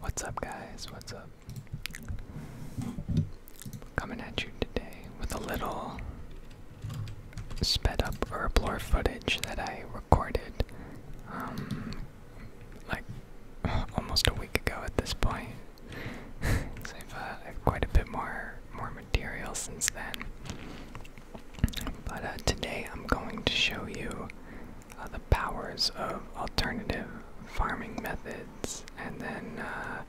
What's up, guys? What's up? Coming at you today with a little sped up or blur footage that I recorded um, like almost a week ago at this point. so I've uh, quite a bit more more material since then. But uh, today I'm going to show you uh, the powers of alternative farming methods and then, uh,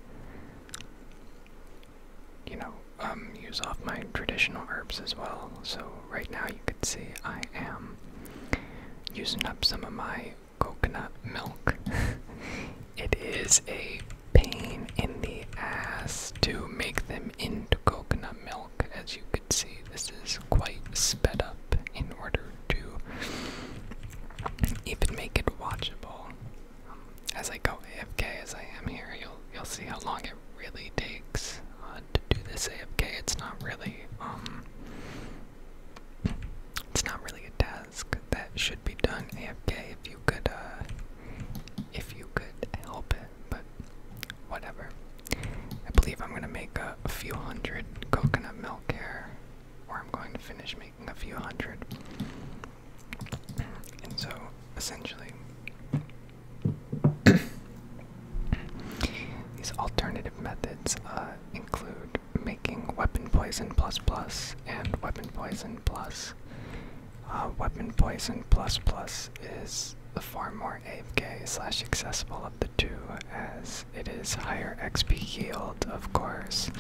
you know, um, use off my traditional herbs as well. So, right now you can see I am using up some of my coconut milk. it is a pain in the ass to make them into coconut milk. As you can see, this is quite sped up in order to even make it watchable. Um, as I go AFK, as I am here, you'll you'll see how long it really takes uh, to do this AFK. It's not really um, it's not really a task that should be done AFK. If you could, uh, if you could help but whatever. I believe I'm gonna make a, few hundred coconut milk here, or I'm going to finish making a few hundred. And so, essentially, these alternative methods uh, include making weapon poison plus plus and weapon poison plus uh, weapon poison plus plus is the far more AFK slash accessible of the two, as it is higher XP yield, of course,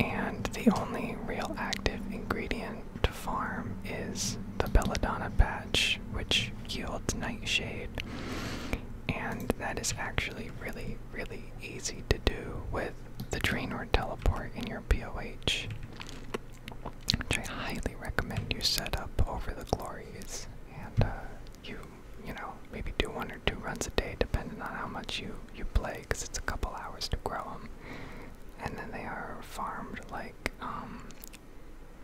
and the only real active ingredient to farm is the belladonna patch, which yields nightshade, and that is actually really, really easy to do with the train or teleport in your POH which I highly recommend you set up over the glories, and uh, you you know maybe do one or two runs a day, depending on how much you you play, because it's a couple hours to grow them, and then they are farmed like um,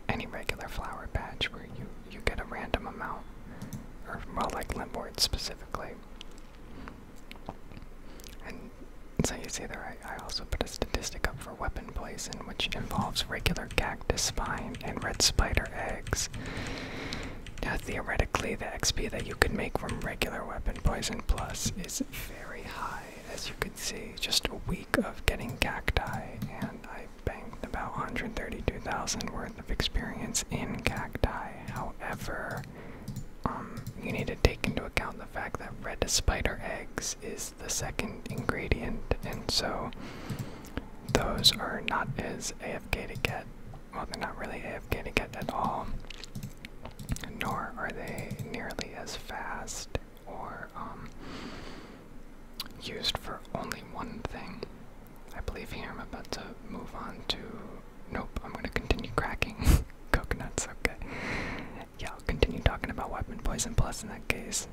any regular flower patch, where you you get a random amount, or well, like limbwort specifically. So you see there, I, also put a statistic up for weapon poison, which involves regular cactus spine and red spider eggs. Now, theoretically, the XP that you could make from regular weapon poison plus is very high, as you can see. Just a week of getting cacti, and I banked about 132,000 worth of experience in cacti. However, um, you need to take into account the fact that red spider eggs is the second ingredient, and so those are not as AFK to get. Well, they're not really AFK to get at all, nor are they nearly as fast or um, used for only one thing. I believe here I'm about to move on to. Nope, I'm gonna continue cracking coconuts, okay yeah, I'll continue talking about weapon poison plus in that case.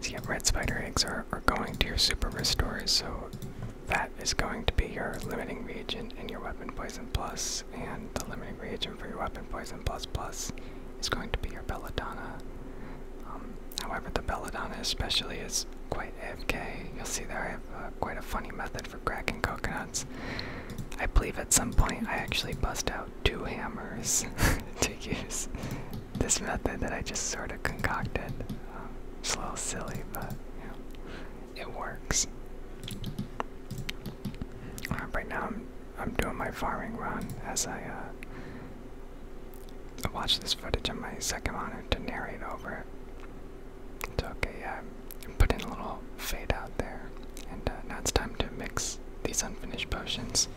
So yeah, red spider eggs are, are going to your super restores, so that is going to be your limiting reagent in your weapon poison plus, and the limiting reagent for your weapon poison plus plus is going to be your belladonna. Um, however, the belladonna especially is quite AFK. You'll see there I have uh, quite a funny method for cracking coconuts. I believe at some point I actually bust out two hammers to use this method that I just sort of concocted. Um, it's a little silly, but it works. Um, right now I'm I'm doing my farming run as I uh, watch this footage on my second monitor to narrate over it okay, yeah, I'm putting a little fade out there. And uh, now it's time to mix these unfinished potions.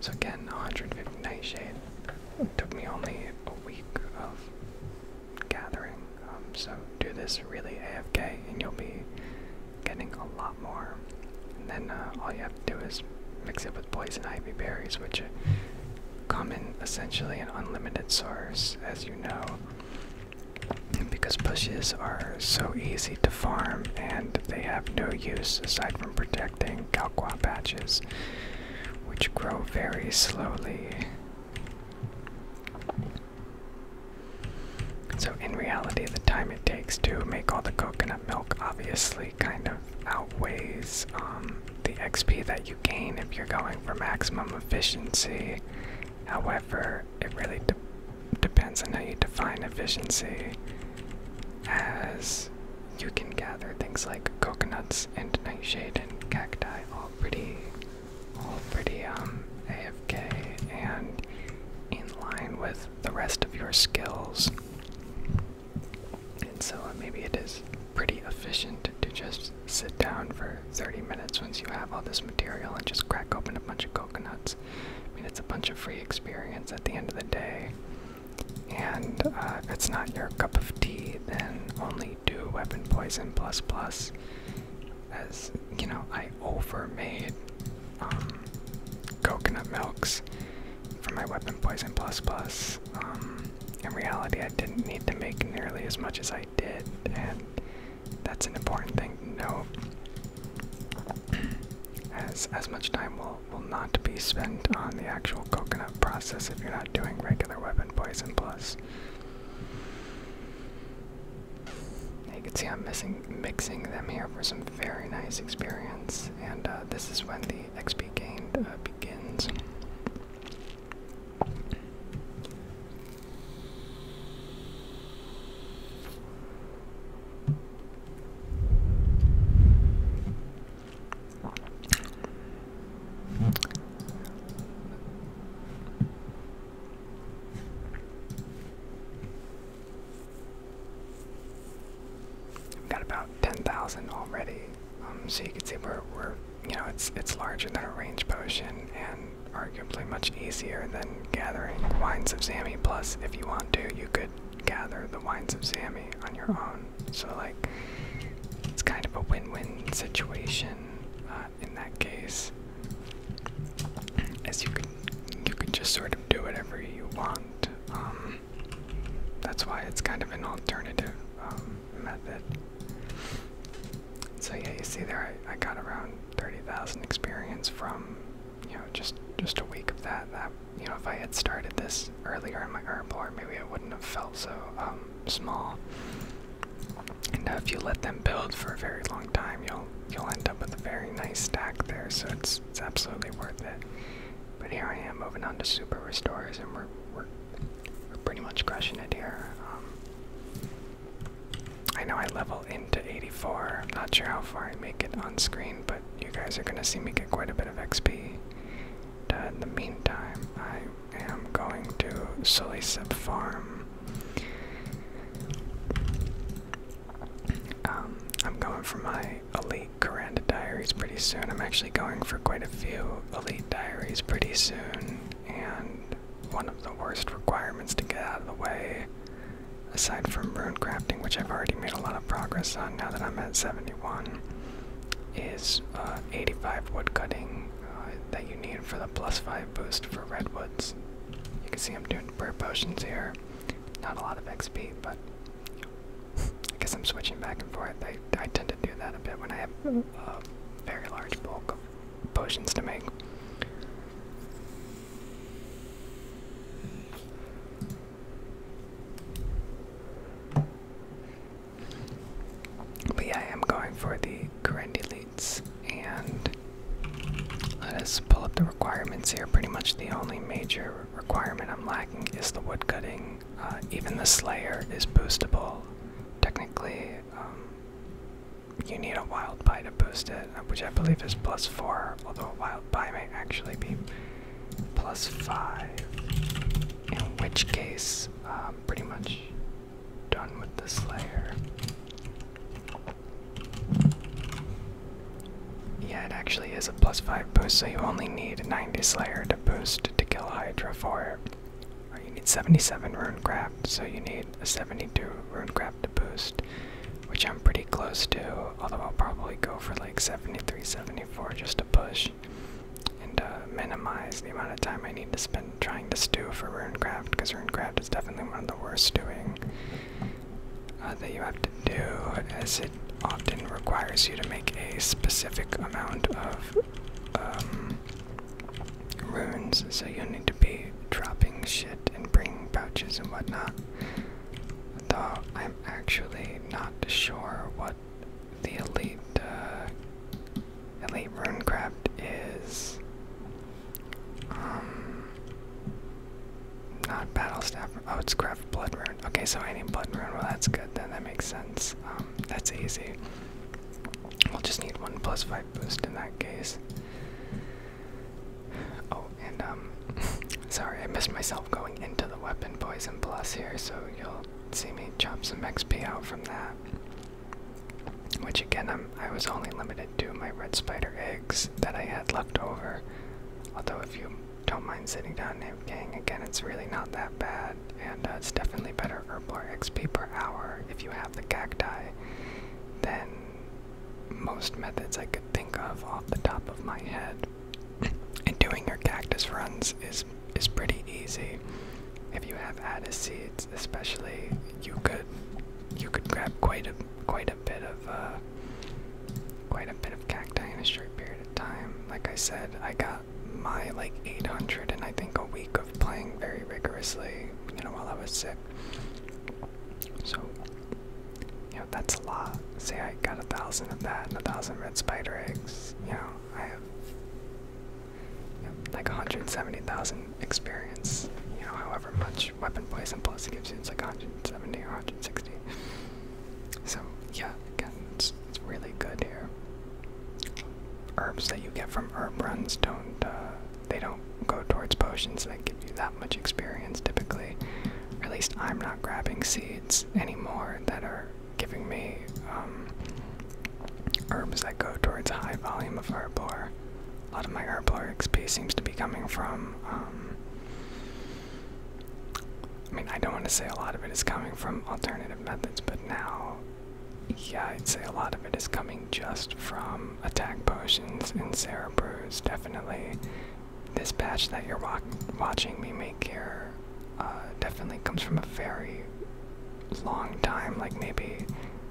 So again, 150 Nightshade. took me only a week of gathering. Um, so do this really AFK and you'll be getting a lot more. And then uh, all you have to do is mix it with poison ivy berries, which are common essentially an unlimited source, as you know because bushes are so easy to farm and they have no use aside from protecting Galqua patches, which grow very slowly. So, in reality, the time it takes to make all the coconut milk obviously kind of outweighs um, the XP that you gain if you're going for maximum efficiency. However, it really depends on how you define efficiency, as you can gather things like coconuts and nightshade and cacti, all pretty, all pretty um AFK and in line with the rest of your skills. And so uh, maybe it is pretty efficient to just sit down for 30 minutes once you have all this material and just crack open a bunch of coconuts. I mean, it's a bunch of free experience at the end of the day. And uh, if it's not your cup of tea, then only do Weapon Poison Plus Plus. As you know, I overmade um, coconut milks for my Weapon Poison Plus Plus. Um, in reality, I didn't need to make nearly as much as I did, that's an important thing to know. As as much time will will not be spent on the actual coconut process if you're not doing regular weapon poison plus. You can see I'm missing mixing them here for some very nice experience, and uh, this is when the XP gained uh, begins. We've got about 10,000 already, um, so you can see we're, we're, you know, it's it's larger than a range potion, and arguably much easier than gathering Wines of Sami. Plus, if you want to, you could gather the Wines of Sami on your own. So, like, it's kind of a win win situation uh, in that case. As you can, you can just sort of do whatever you want. Um, that's why it's kind of an alternative um, method. So yeah, you see there, I got around 30,000 experience from, you know, just just a week of that. That you know, if I had started this earlier in my herbal, maybe I wouldn't have felt so um, small. And if you let them build for a very long time, you'll you'll end up with a very nice stack there. So it's it's absolutely worth it. But here I am moving on to super restores, and we're we're we're pretty much crushing it here. Um, I know I level into 84. I'm not sure how far I make it on screen, but you guys are going to see me get quite a bit of XP. Uh, in the meantime, I am going to Solicep Farm. Um, I'm going for my Elite Koranda Diaries pretty soon. I'm actually going for quite a few Elite Diaries pretty soon and one of the worst requirements to get out of the way, aside from rune crafting, which I've already made a lot of progress on now that I'm at 71, is uh, 85 woodcutting uh, that you need for the plus 5 boost for redwoods. You can see I'm doing brew potions here. Not a lot of XP, but I guess I'm switching back and forth. I, I tend to do that a bit when I have a very large bulk of potions to make. But yeah, I am going for the current elites, and let us pull up the requirements here. Pretty much the only major requirement I'm lacking is the woodcutting. Uh, even the Slayer is boostable. Technically, um, you need a wild pie to boost it, uh, which I believe is plus four, although a wild pie may actually be plus five. In which case, I'm uh, pretty much done with this layer. Yeah, it actually is a plus five boost, so you only need a 90 Slayer to boost to kill Hydra for you need 77 rune runecraft, so you need a 72 rune runecraft to boost, which I'm pretty close to, although I'll probably go for like 73, 74 just to push and uh, minimize the amount of time I need to spend trying to do for rune runecraft, because rune runecraft is definitely one of the worst doing uh, that you have to do, as it often requires you to make a specific amount of um, runes, so you need to be dropping shit and bringing pouches and whatnot. Though I'm actually not sure what the elite uh, elite runecraft is. Um, not battle staff. Oh, it's craft blood rune. Okay, so I need blood rune. Well, that's good then. That makes sense. Um, that's easy. We'll just need one plus five boost in that case. Oh, and um, sorry, I missed myself going into the weapon poison plus here, so you'll see me chop some XP out from that. Which again, I'm, I was only limited to my red spider eggs that I had left over. Although, if you don't mind sitting down, and gang, again, it's really not that bad, and uh, it's definitely better herblore XP per hour if you have the cacti than most methods I could think of off the top of my head. And doing your cactus runs is is pretty easy. If you have added seeds, especially, you could you could grab quite a quite a bit of uh, quite a bit of cacti in a short period of time. Like I said, I got my like 800 and I think a week playing very rigorously, you know, while I was sick. So, you know, that's a lot. Say I got a thousand of that and a thousand red spider eggs, you know, I have you know, like 170,000 experience, you know, however much weapon poison plus gives you, it's like 170 or 160. So, yeah, again, it's, it's really good here. Herbs that you get from herb runs don't, uh, they don't go towards potions that give you that much experience typically. Or at least I'm not grabbing seeds anymore that are giving me um, herbs that go towards high volume of herblore. A lot of my herblore XP seems to be coming from. Um, I mean, I don't want to say a lot of it is coming from alternative methods, but now yeah, I'd say a lot of it is coming just from attack potions and Sarah brews. Definitely, this patch that you're watching me make here uh, definitely comes from a very long time, like maybe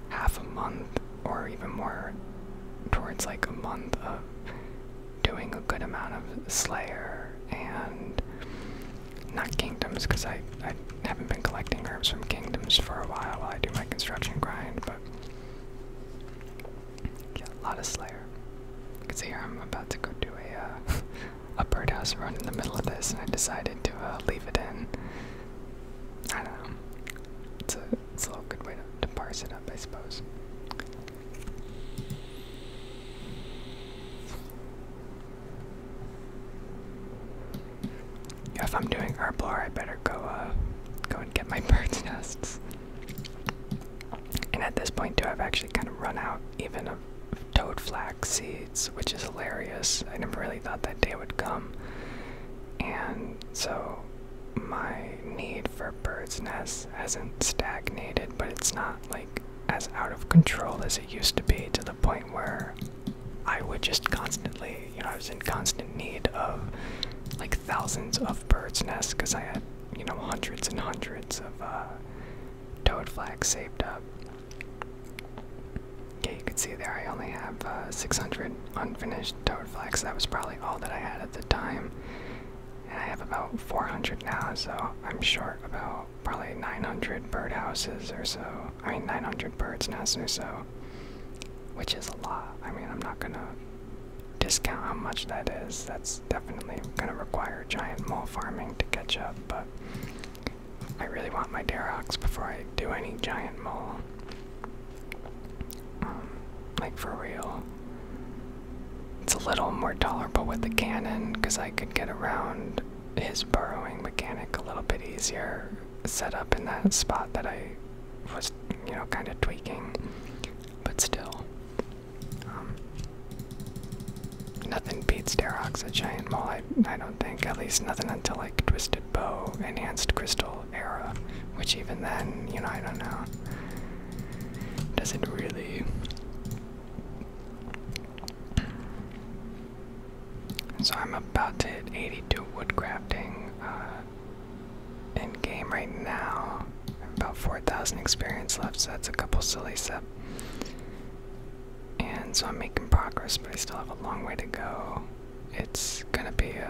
half a month or even more, towards like a month of doing a good amount of Slayer and not Kingdoms, because I haven't been collecting herbs from kingdoms for a while while I do my construction grind, but yeah, a lot of Slayer. Cause here I'm about to go do a uh, a birdhouse run in the middle of this, and I decided to uh, leave it in. I don't know. It's a it's a little good way to, to parse it up, I suppose. If I'm doing herblore, I better go uh, go and get my bird's nests. And at this point, too, I've actually kind of run out even of toadflax seeds, which is hilarious. I never really thought that day would come. And so my need for bird's nests hasn't stagnated, but it's not like as out of control as it used to be to the point where I would just constantly, you know, I was in constant need of like thousands of birds' nests because I had, you know, hundreds and hundreds of uh, toad flags saved up. Okay, you can see there I only have uh, 600 unfinished toad flags. That was probably all that I had at the time. And I have about 400 now, so I'm short about probably 900 birdhouses or so. I mean, 900 birds' now, or so, which is a lot. I mean, I'm not gonna discount how much that is. That's definitely gonna require giant mole farming to catch up, but I really want my Darox before I do any giant mole. Um, like, for real. It's a little more tolerable with the cannon because I could get around his burrowing mechanic a little bit easier set up in that spot that I was, you know, kind of tweaking, but still. Um, nothing beats Derox a giant mole, I, I don't think, at least nothing until like Twisted Bow, Enhanced Crystal era, which even then, you know, I don't know. Doesn't really so I'm about to hit 82 wood crafting uh, in game right now. I have about 4,000 experience left, so that's a couple silly steps. And so I'm making progress, but I still have a long way to go. It's gonna be uh,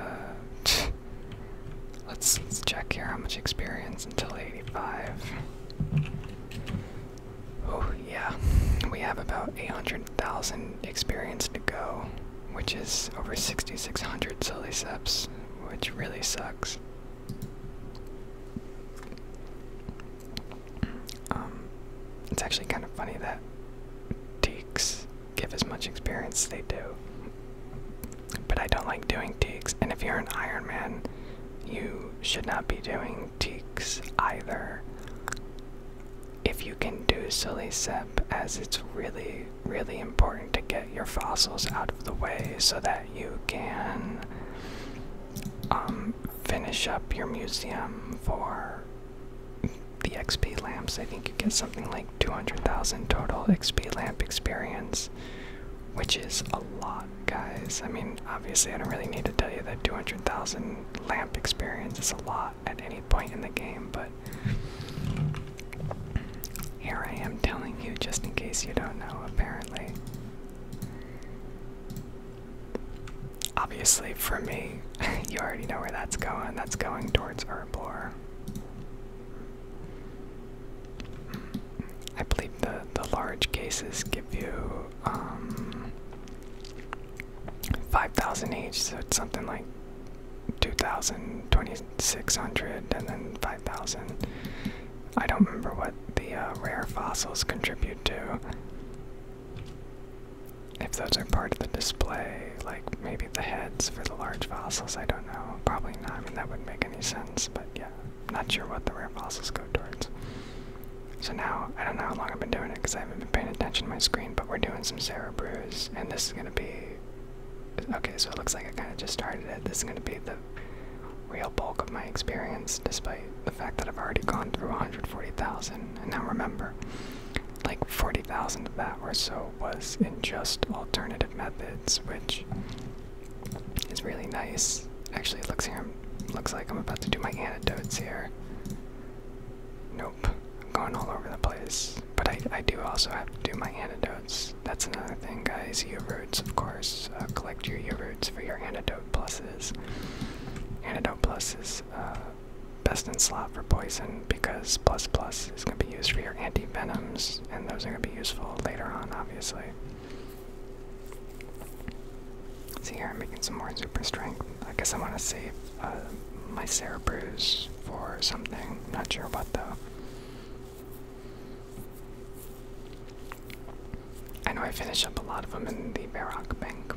a. let's, let's check here how much experience until 85. Oh, yeah. We have about 800,000 experience to go which is over 6,600 silly steps, which really sucks. Um, it's actually kind of funny that teaks give as much experience they do. But I don't like doing teaks, and if you're an Iron Man, you should not be doing teaks either if you can do silicep as it's really really important to get your fossils out of the way so that you can um, finish up your museum for the XP lamps. I think you get something like 200,000 total XP lamp experience, which is a lot, guys. I mean, obviously, I don't really need to tell you that 200,000 lamp experience is a lot at any point in the game, but here I am telling you just in case you don't know, apparently. Obviously, for me, you already know where that's going. That's going towards Herblore. I believe the, the large cases give you um, 5,000 each, so it's something like 2000 2600 and then 5000 i don't remember what the uh, rare fossils contribute to if those are part of the display like maybe the heads for the large fossils i don't know probably not i mean that wouldn't make any sense but yeah not sure what the rare fossils go towards so now i don't know how long i've been doing it because i haven't been paying attention to my screen we're doing some Sarah brews, and this is gonna be. Okay, so it looks like I kind of just started it. This is gonna be the real bulk of my experience, despite the fact that I've already gone through 140,000. And now remember, like 40,000 of that or so was in just alternative methods, which is really nice. Actually, it looks here. Looks like I'm about to do my antidotes here. No I'm going all over the place. But I, I do also have to do my antidotes. That's another thing, guys. U roots, of course. Uh, collect your U roots for your antidote pluses. Antidote pluses, uh, best in slot for poison because plus plus is going to be used for your anti venoms, and those are going to be useful later on, obviously. See here, I'm making some more super strength. I guess I want to save uh, my Sarah Bruce for something. Not sure what though. I know I finish up a lot of them in the Varrock Bank.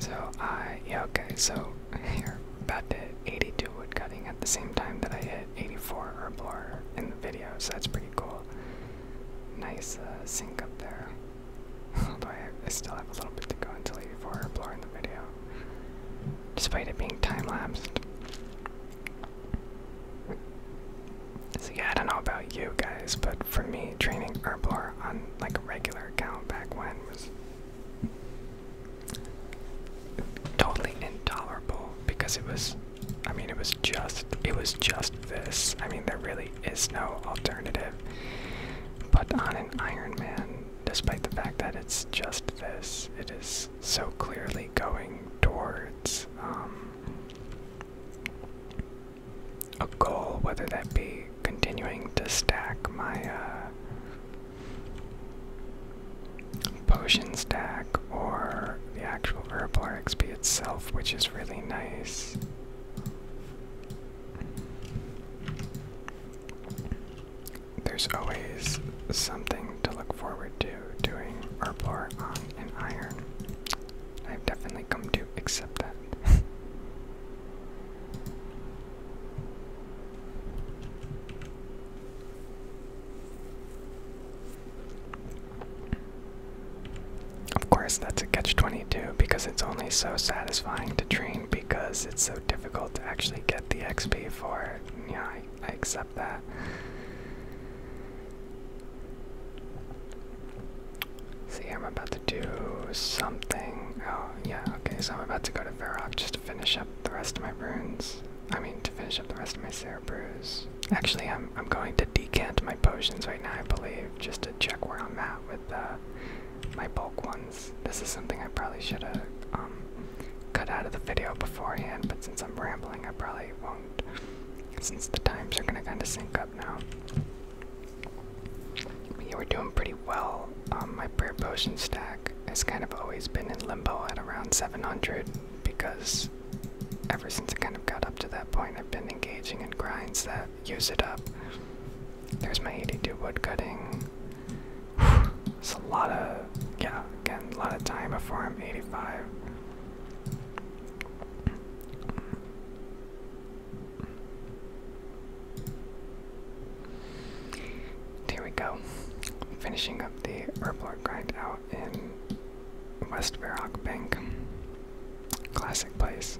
So I yeah okay so here about to 82 woodcutting at the same time that I hit 84 or herblore in the video so that's pretty cool nice uh, sink up there. Although I, still have a little bit to go until 84 or the video. Despite it being time lapsed. So yeah, I don't know about you guys, but for me, training Herblore on like a regular account back when was totally intolerable because it was I mean, it was just it was just this. I mean, there really is no alternative. But on an Iron Man, despite the fact that it's just this, it is so clearly going towards um, a goal, whether that be continuing to stack my uh, potion stack or the actual herbal XP itself, which is really nice. There's always something to look forward to doing Herblore on an iron. I've definitely come to accept that. Of course, that's a catch 22 because it's only so satisfying to train because it's so difficult to actually get the XP for it. Yeah, I, accept that. See, I'm about to do something. Oh, yeah, okay, so I'm about to go to Varrock just to finish up the rest of my runes. I mean, to finish up the rest of my Seraph Cerebrews. Actually, I'm I'm, going to decant my potions right now, I believe, just to check where I'm at with uh, my bulk ones. This is something I probably should have um, cut out of the video beforehand, but since I'm rambling, I probably won't, since the times are going to kind of sync up now. you were doing pretty well. Um, my prayer potion stack has kind of always been in limbo at around 700 because ever since I kind of got up to that point, I've been engaging in grinds that use it up. There's my 82 wood cutting. It's a lot of, yeah, again, a lot of time before I'm 85. Here we go. Finishing up the herblore grind out in West Verrock Bank. Classic place.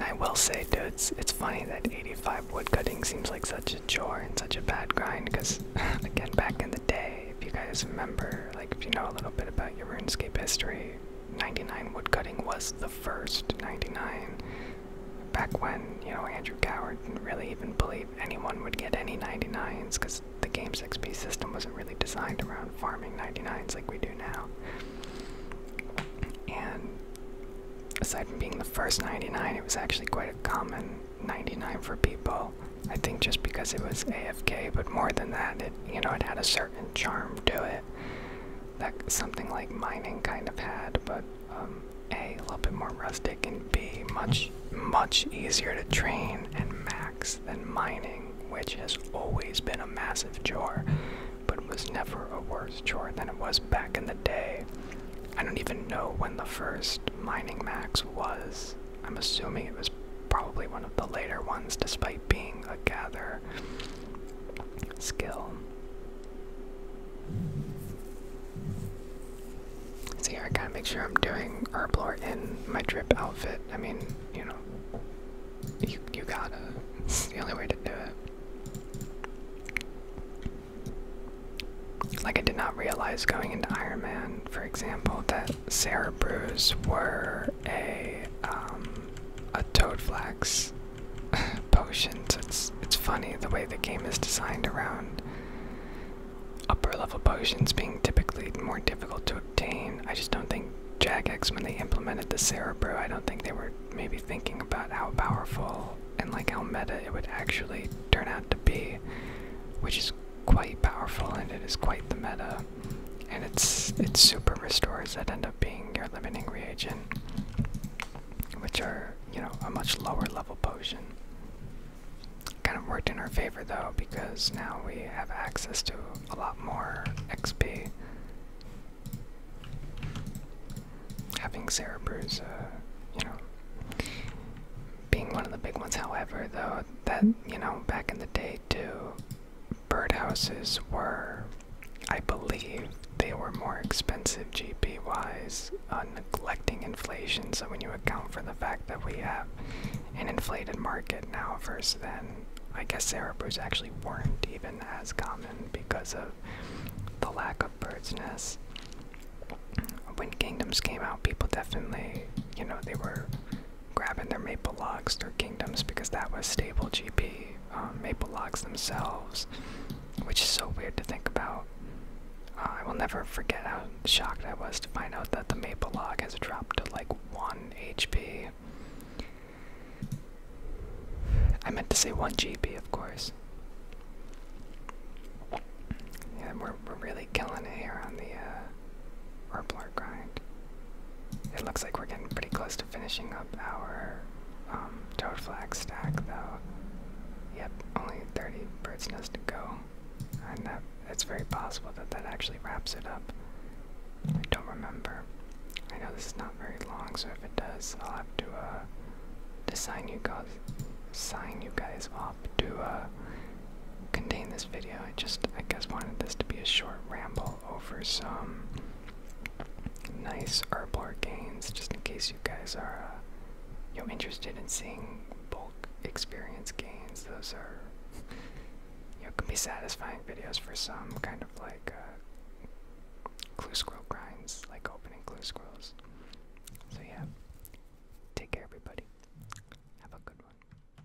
I will say, dude, it's funny that 85 woodcutting seems like such a chore and such a bad grind, because, again, back in the day, if you guys remember, like, if you know a little bit about your RuneScape history, 99 woodcutting was the first 99 back when you know Andrew Coward didn't really even believe anyone would get any 99s because the game's XP system wasn't really designed around farming 99s like we do now. And aside from being the first 99, it was actually quite a common 99 for people. I think just because it was AFK, but more than that, it you know it had a certain charm to it that something like mining kind of had, but um, A, a little bit more rustic, and B, much, much easier to train and max than mining, which has always been a massive chore, but was never a worse chore than it was back in the day. I don't even know when the first mining max was. I'm assuming it was probably one of the later ones, despite being a gather skill. See, here I gotta make sure I'm doing Herblore in my drip outfit. I mean, you know, you, you gotta. It's the only way to do it. Like, I did not realize going into Iron Man, for example, that Sarah Brews were a um, a toad flax potion. So it's it's funny the way the game is designed around upper level potions being typically more difficult to obtain. I just don't think Jagex when they implemented the Cerebro, I don't think they were maybe thinking about how powerful and like how meta it would actually turn out to be, which is quite powerful and it is quite the meta and it's it's super restores that end up being your limiting reagent, which are you know a much lower level potion. Kind of worked in our favor though because now we have access to a lot more XP. Having Cerebrew's, uh, you know, being one of the big ones. However, though that you know back in the day too, birdhouses were, I believe, they were more expensive GP wise, uh, neglecting inflation. So when you account for the fact that we have an inflated market now versus then, I guess Cerebros actually weren't even as common because of the lack of bird's nests. When kingdoms came out, people definitely, you know, they were grabbing their maple logs their kingdoms because that was stable GP um, maple logs themselves, which is so weird to think about. Uh, I will never forget how shocked I was to find out that the maple log has dropped to like 1 HP. I meant to say 1 GP, of course. Yeah, we're, we're really killing it here on the uh, grind. It looks like we're getting pretty close to finishing up our um, toad flag stack, though. Yep, only 30 bird's nests to go, and that it's very possible that that actually wraps it up. I don't remember. I know this is not very long, so if it does, I'll have to uh, sign you guys, up to uh, contain this video. I just, I guess, wanted this to be a short ramble over some nice Herblar gains, just in case you guys are uh, you know, interested in seeing bulk experience gains. Those are you know, can be satisfying videos for some kind of like clue uh, scroll grinds, like opening clue scrolls. So yeah, take care, everybody. Have a good one.